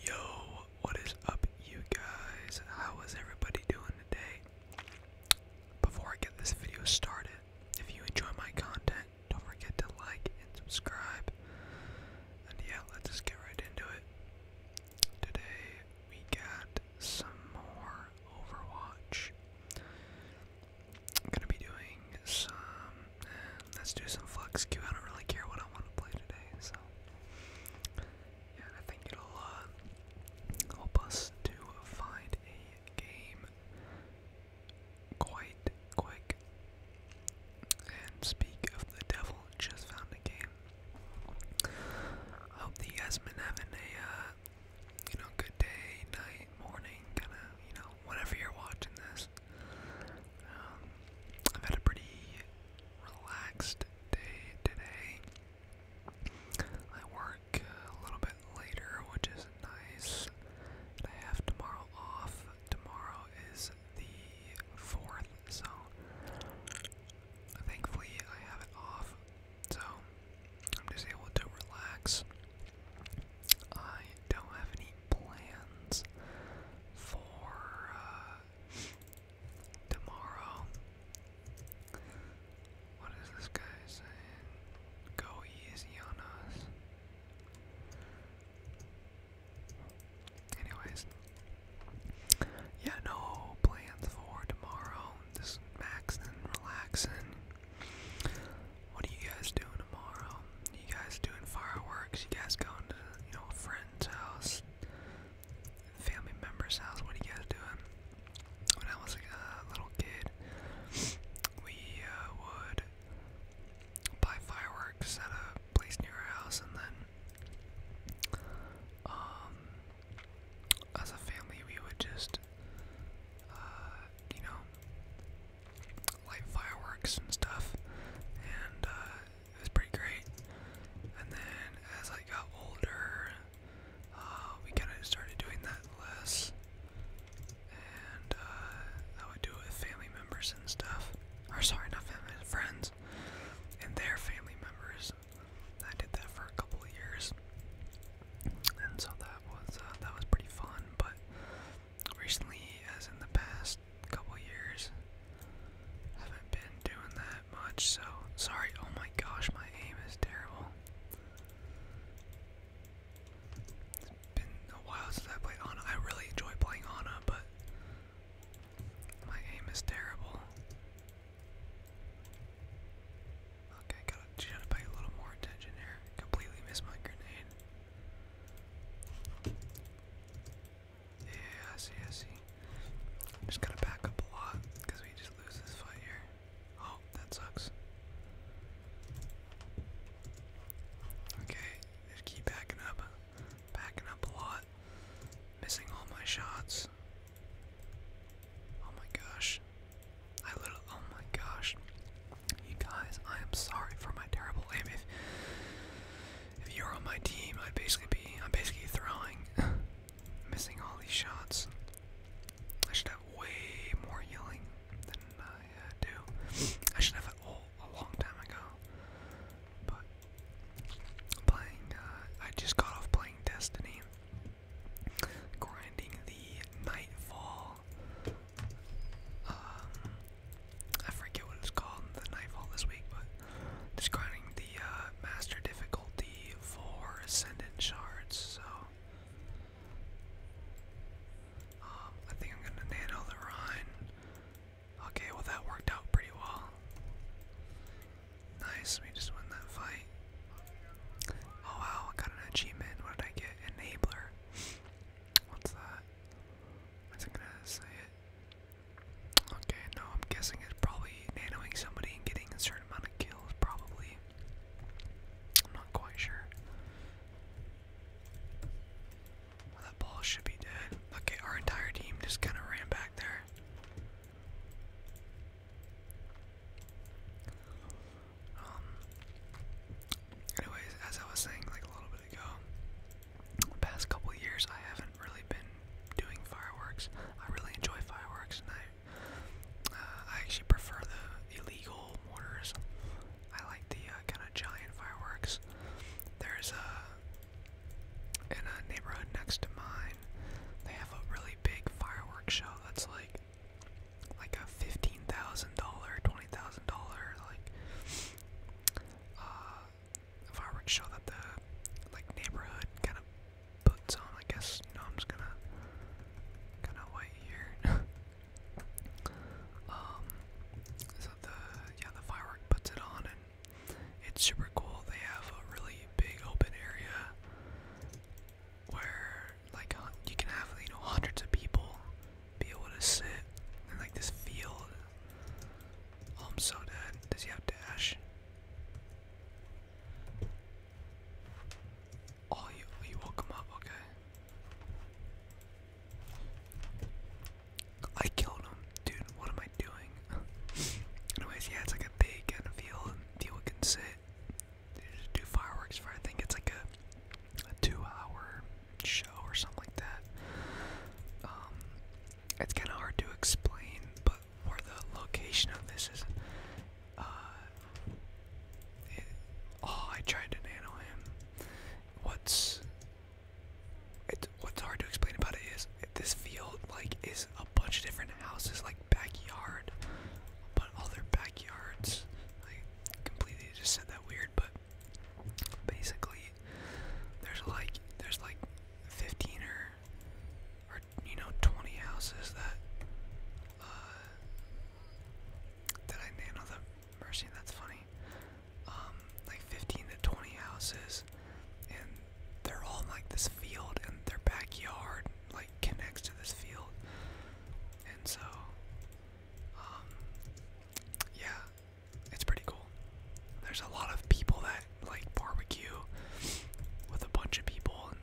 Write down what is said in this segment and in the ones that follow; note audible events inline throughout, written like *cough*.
Yo, what is up, you guys? How is everybody doing today? Before I get this video started, if you enjoy my content, don't forget to like and subscribe. And yeah, let's just get right into it. Today we got some more Overwatch. I'm gonna be doing some. let's do some flux Q. I don't really care what I want to play today, so yeah, I think it'll uh, help us to find a game quite quick. And speak of the devil, just found a game. I hope you guys been having a uh, you know good day, night, morning, kind of you know whenever you're watching this. Um, I've had a pretty relaxed day today. I work a little bit later, which is nice. I have tomorrow off. Tomorrow is the 4th, so thankfully I have it off. So I'm just able to relax. I don't have any plans for uh, tomorrow. What is this guy saying? Go easy on us. Anyways, yeah, no plans for tomorrow. Just maxing, relaxing. What are you guys doing tomorrow? You guys doing fireworks? You guys going to, you know, friend's house, family member's house? What are you guys doing? When I was like, a uh, little kid, we uh, would buy fireworks at a place near our house, and then, um, as a family, we would just, uh, you know, light fireworks and stuff, and uh, it was pretty great. And then as I got older, uh, we kind of started doing that less, and uh, I would do it with family members and stuff. Or sorry, not family, friends, and their family members. I did that for a couple years, and so that was uh, that was pretty fun. But recently, as in the past couple years. Haven't been doing that much, so sorry. Oh my gosh, my aim is terrible. It's been a while since I played Ana. I really enjoy playing Ana, but my aim is terrible. Okay, gotta try to pay a little more attention here. Completely missed my grenade. Yeah, I see, I see. I'm just gonna back up a lot because we just lose this fight here. Oh, that sucks. Okay, just keep backing up. Backing up a lot. Missing all my shots. Oh my gosh. I literally, oh my gosh. You guys, I am sorry for my terrible aim. If you're on my team, I'd basically be I'm basically throwing, *laughs* missing all these shots. I should have way more yelling than I uh, do. I should have it all oh, a long time ago. But playing, uh, I just got off playing Destiny, grinding the Nightfall um, I forget what it's called in the Nightfall this week, but describing the uh, master difficulty for Ascendant Shards, so. Um, I think I'm gonna nano the Rhine. Okay, well that worked out pretty well. Nice, we just won that fight. Oh wow, I got an achievement. What did I get? Enabler. *laughs* What's that? Wasn't gonna say it. Okay, no, I'm guessing it's probably nanoing somebody and getting a certain amount of kills, probably. I'm not quite sure. that ball should be dead. Okay, our entire team just kind of ran back there. Um. Anyways, as I was saying, like a little bit. The past couple years, I haven't really been doing fireworks. I really enjoy fireworks, and I, uh, I actually prefer the illegal mortars. I like the uh, kind of giant fireworks. There's a uh, in a neighborhood next to mine. They have a really big fireworks show that's like like a fifteen thousand dollar, twenty thousand dollar like uh, fireworks show that the like neighborhood kind of puts on. I guess you I'm just gonna kind of wait here. *laughs* um, so the yeah the firework puts it on and it's super cool. They have a really big open area where like you can have you know hundreds of people be able to sit in like this field. Oh, I'm so dead. Does he have dash? Oh, you you woke him up. Okay. I killed him, dude. What am I doing? *laughs* Anyways, yeah, it's like a big kind of field. People can sit. They just do fireworks for. I think it's like a two-hour show or something like that. Um, it's kind of hard to explain, but where the location of this is. Uh, oh, I tried to nano him. What's it, what's hard to explain about it is this field like is a bunch of different houses, like backyard, but all their backyards. Like completely just said that weird, but basically there's like there's like 15 or or you know 20 houses that uh did I name another mercy that's funny um like 15 to 20 houses and they're all like this field and their backyard like connects to this field and so um yeah it's pretty cool. There's a lot of people that like barbecue with a bunch of people and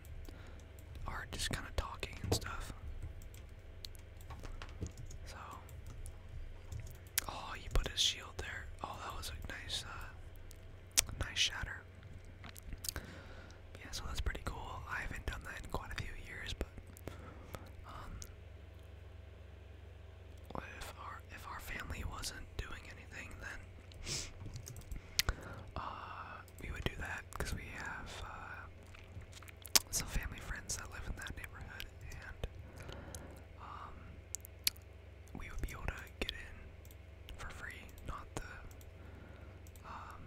are just kind of talking and stuff. So, oh, he put his shield there. Oh, that was a nice, uh, nice shatter. Yeah, so that's pretty cool. I haven't done that in quite a few years, but um, if our if our family wasn't doing anything, then uh, we would do that because we have uh, some family friends that live in that neighborhood, and um, we would be able to get in for free. Not the um,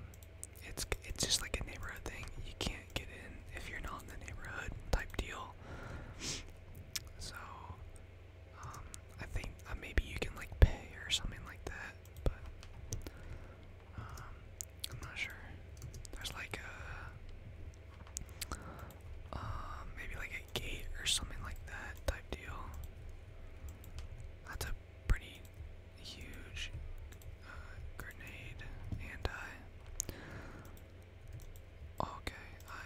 it's it's just like a neighborhood thing. You can't get in if you're not in the neighborhood type deal. So, um, I think uh, maybe you can like pay or something like that, but um, I'm not sure. There's like a, uh, maybe like a gate or something like that type deal. That's a pretty huge uh, grenade, and Okay, I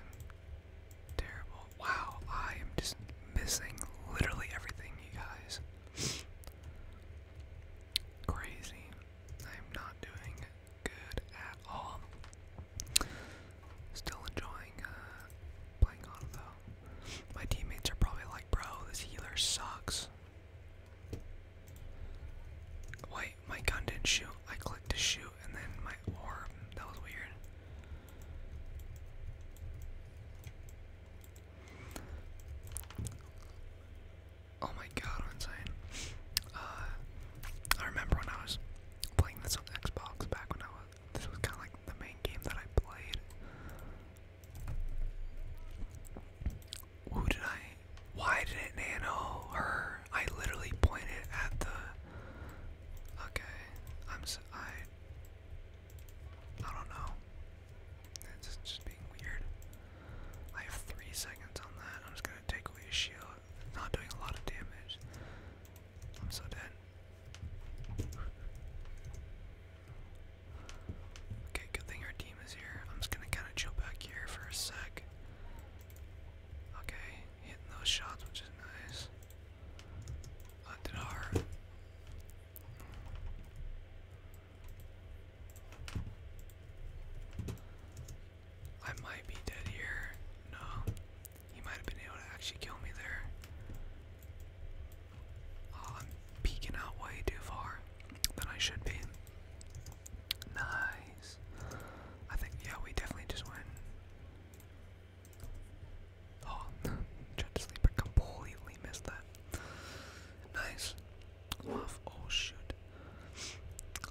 am terrible. Wow, I am just missing literally everything, you guys. Crazy. I'm not doing good at all. Still enjoying uh, playing on though. My teammates are probably like, bro, this healer sucks. Wait, my gun didn't shoot. I clicked to shoot and then my orb. That was weird. Oh my god, I'm insane. Uh, I remember when I was playing this on Xbox back when I was. This was kind of like the main game that I played. Who did I? Why did it nano her? I literally pointed at the. Okay, I'm. So, I. I don't know. It's just, being weird. I have three seconds on that. I'm just gonna take away shield. not doing a lot of damage. I'm so dead. Okay, good thing our team is here. I'm just gonna kind of chill back here for a sec. Okay, hitting those shots, which is nice. Hunted hard. I might be dead here. No. He might have been able to actually kill me there. Oh, I'm peeking out way too far than I should be. Nice. I think, yeah, we definitely just win. Oh, *laughs* tried to completely missed that. Nice. Off, oh shoot.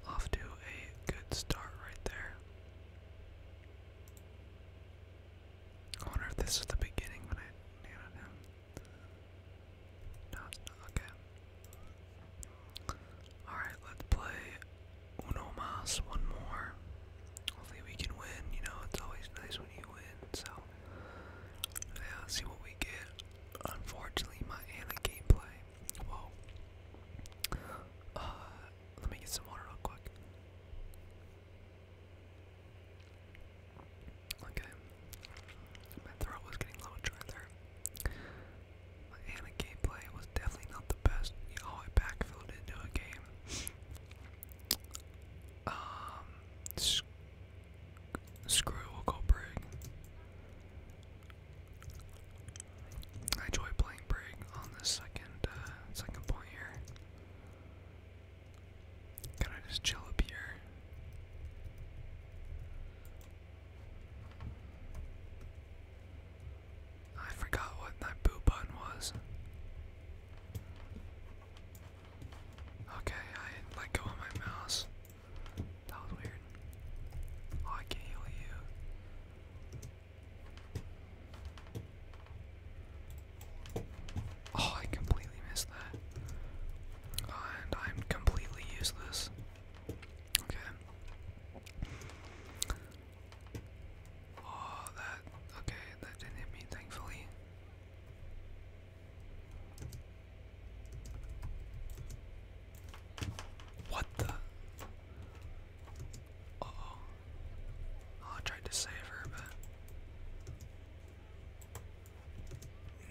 Off to a good start right there. I wonder if this is the beginning when I nailed him. No, it's not. Okay. Alright, let's play Uno Mas one more. Hopefully we can win, you know, it's always nice when you win, so yeah, see what we get. Unfortunately my Ana gameplay. Whoa. Uh let me get some water real quick. Okay. My throat was getting a little my Anna gameplay was definitely not the best. You I backfilled into a game. um, screw, we'll Brig. I enjoy playing Brig on the second, uh, second point here. Can I just chill up here? I forgot what that boo button was. Okay, I let go of my mouse. That was weird. Oh, I can heal you. Oh, I completely missed that. And I'm completely useless. Okay. Oh, that. Okay, that didn't hit me, thankfully. What the? oh. I tried to save her, but.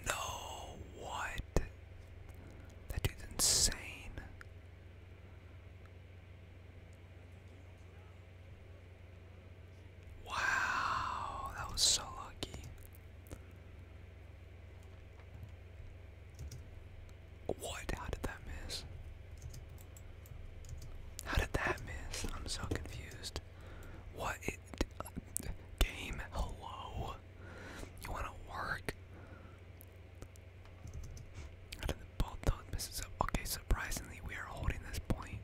No, what? That dude's insane. Wow, that was so lucky. What? How did that miss? How did that miss? I'm so confused. What? Uh, game? Hello? You wanna work? Okay, surprisingly, we are holding this point.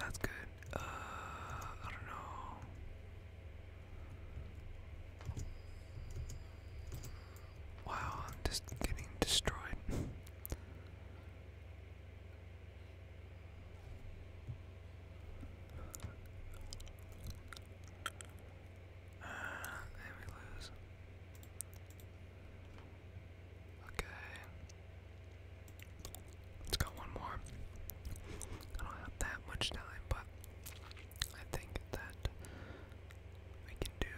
That's good. Uh, I don't know. Wow, I'm just getting destroyed. Uh, and we lose. Okay. Let's go one more. I don't have that much time, but I think that we can do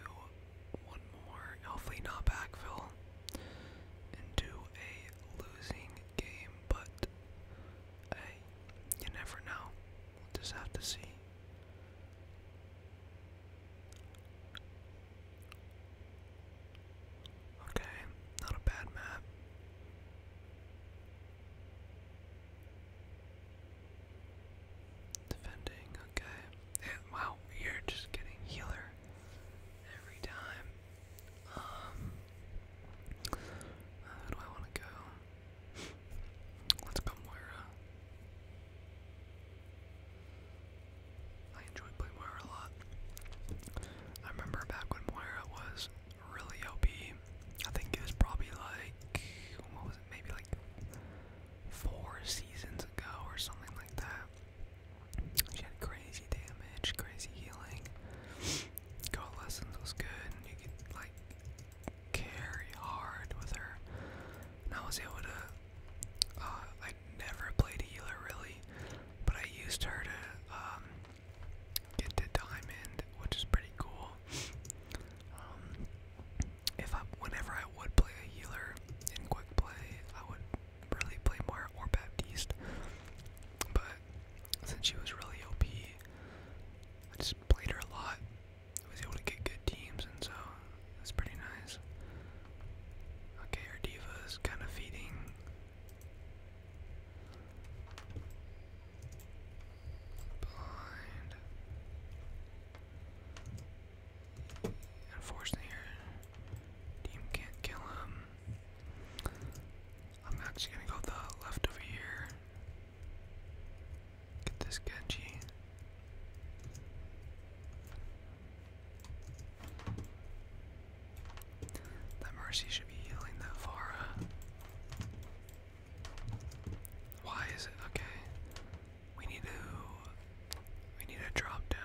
one more. Hopefully not backfill and do a losing game, but a you never know. We'll just have to see. Okay, not a bad map. Defending, okay. wow, you're just getting healer every time. Um, uh, do I want to go? Let's go, Moira. I enjoy playing Moira a lot. I remember back when Moira was really OP. I think it was probably like, what was it, maybe like four seasons ago or something like that. She had crazy damage, crazy healing. Coalescence was good, you could like carry hard with her. And I was able to, uh, I never played a healer really, but I used her to um, get to diamond, which is pretty cool. Um, if I, whenever I would play a healer in quick play, I would really play more or Baptiste, but since she was really OP, I just played her a lot. I was able to get good teams, and so that's pretty nice. Okay, our diva is kind of feeding. Blind. Unfortunately, your team can't kill him. I'm actually gonna go the left over here. Get this Genji. That Mercy should be healing that Farah. Why is it okay? We need to we need to drop down.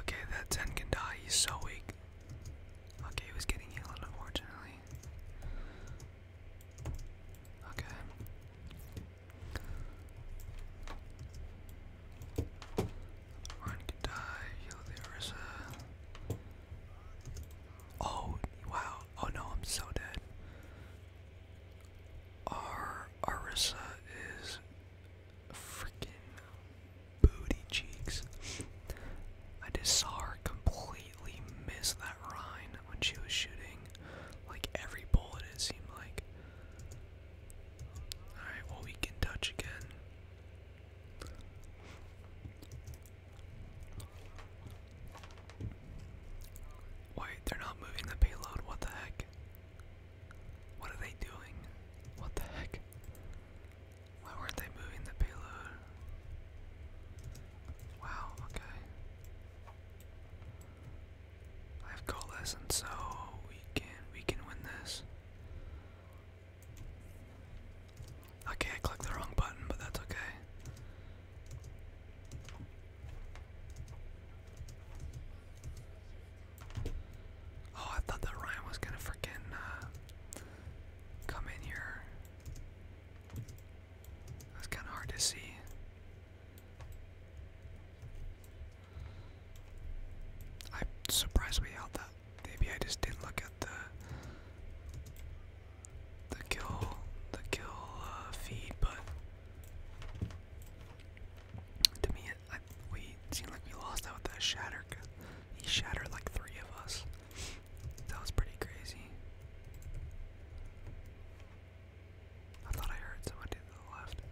Okay, that ten can die. He's so weak. Okay, he was getting healed, unfortunately. Okay. Run can die. Heal the Orisa. Oh, wow. Oh no, I'm so dead. Our Orisa is freaking booty cheeks. I just saw her completely miss that Rhine when she was shooting. Like every bullet, it seemed like. Alright, well, we can touch again. Wait, they're not moving the payload, what the heck? What are they doing? What the heck? Why weren't they moving the payload? Wow, okay. I have coalescent, so we can we can win this. Okay, I clicked the wrong button, but that's okay. Oh, I thought that Ryan was gonna freaking uh, come in here. That's kind of hard to see. I'm surprised we held that. Maybe I just didn't look at the the kill the kill uh, feed, but to me we seemed like we lost out with that shatter. He shattered like three of us. That was pretty crazy. I thought I heard someone to the left.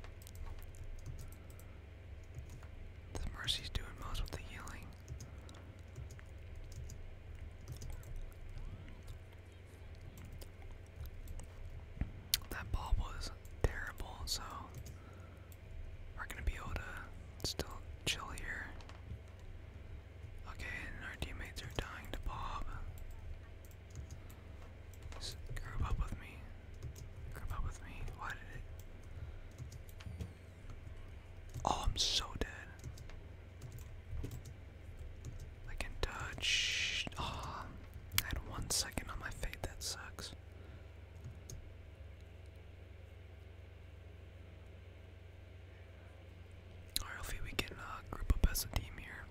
The Mercy's doing most with the healing. That ball was terrible, so we're gonna be able to still chill here. Okay, and our teammates are dying to Bob. group up with me. Group up with me. Why did it? Oh, I'm so dead. I can touch. Oh, I had one second on my fate. That sucks. Alright, we can uh, group up as a team here.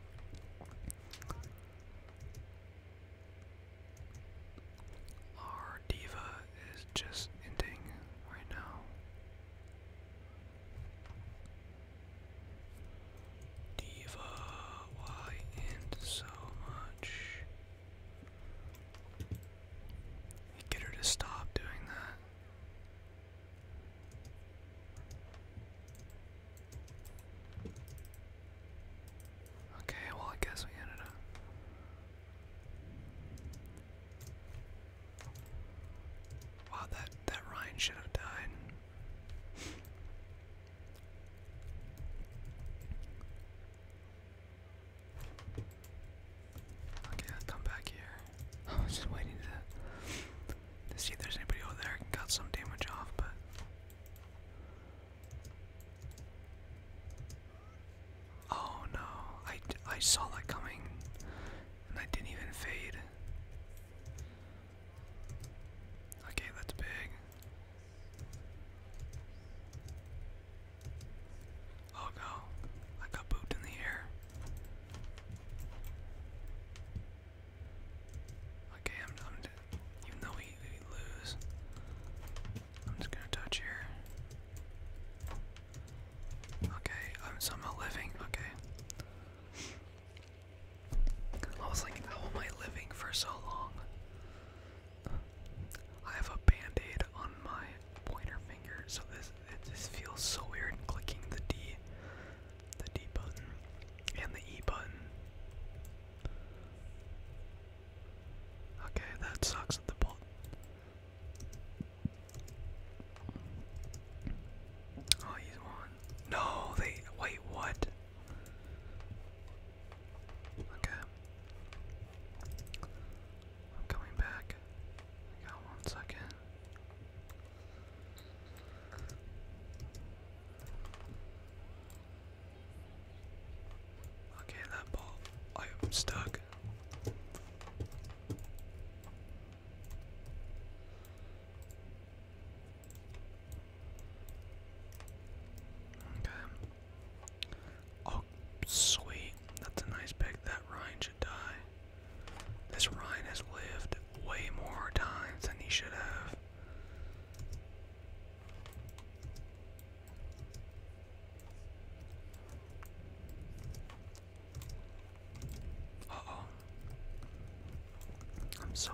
Our diva is just ending right now. Diva, why end so much? Get her to stop doing that. Okay, well, I guess we ended up. Wow, that that Ryan should have died. *laughs* Okay, let's come back here. *laughs* I was just waiting to, see if there's anybody over there. I got some damage off, but. Oh no, I, I saw that coming and I didn't even fade. Okay, that's big. Oh no, I got pooped in the air. Okay, I'm, i even though we lose, I'm just gonna touch here. Okay, I'm somehow living. Okay. I was like, how am I living for so long? I have a band on my pointer finger, so this it just feels so weird clicking the D the D button and the E button. Okay, that sucks at the ball. Oh, he's one. No, they wait, what? Okay. I'm coming back. I got one second. Okay, that ball. I am stuck. Okay. Oh, sweet. That's a nice pick. That Ryan should die. This Ryan has lived way more times than he should have. oh I'm so...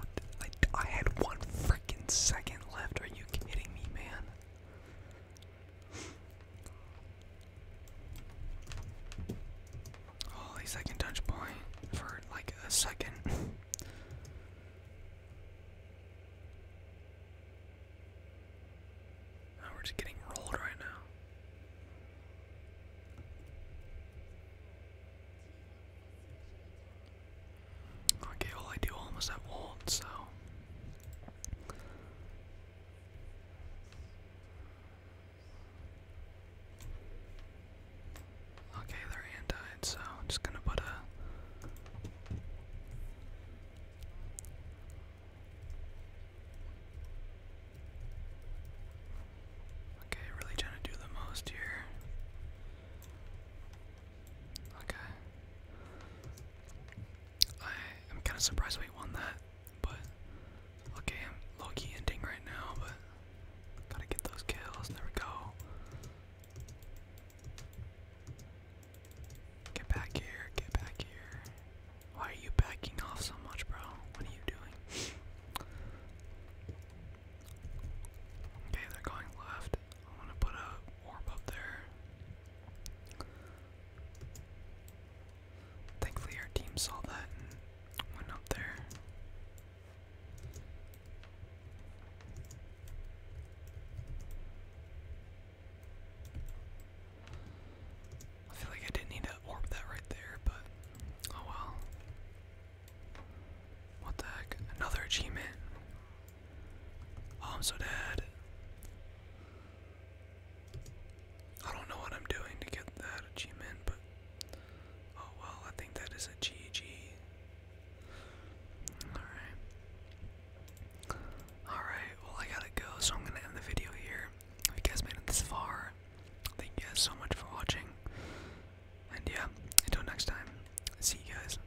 I had one freaking second left. Are you kidding me, man? Holy second touch point for like a second. *laughs* we're just getting rolled right now. Okay, all I do almost have ult, so Okay, they're anti, so I'm just gonna put a Okay, really trying to do the most here. Okay. I am kind of surprised we won that, but okay, I'm low key ending right now, but gotta get those kills. There we go. Get back here, get back here. Why are you backing off so much, bro? What are you doing? Okay, they're going left. I'm gonna put a orb up there. Thankfully, our team saw that and went up there. I feel like I didn't need to orb that right there, but oh well. What the heck? Another achievement. Oh, I'm so dead. I don't know what I'm doing to get that achievement, but oh well, I think that is a GG. Alright. Alright, well, I gotta go, so I'm gonna end the video here. If you guys made it this far, thank you guys so much for watching. And yeah, until next time, see you guys.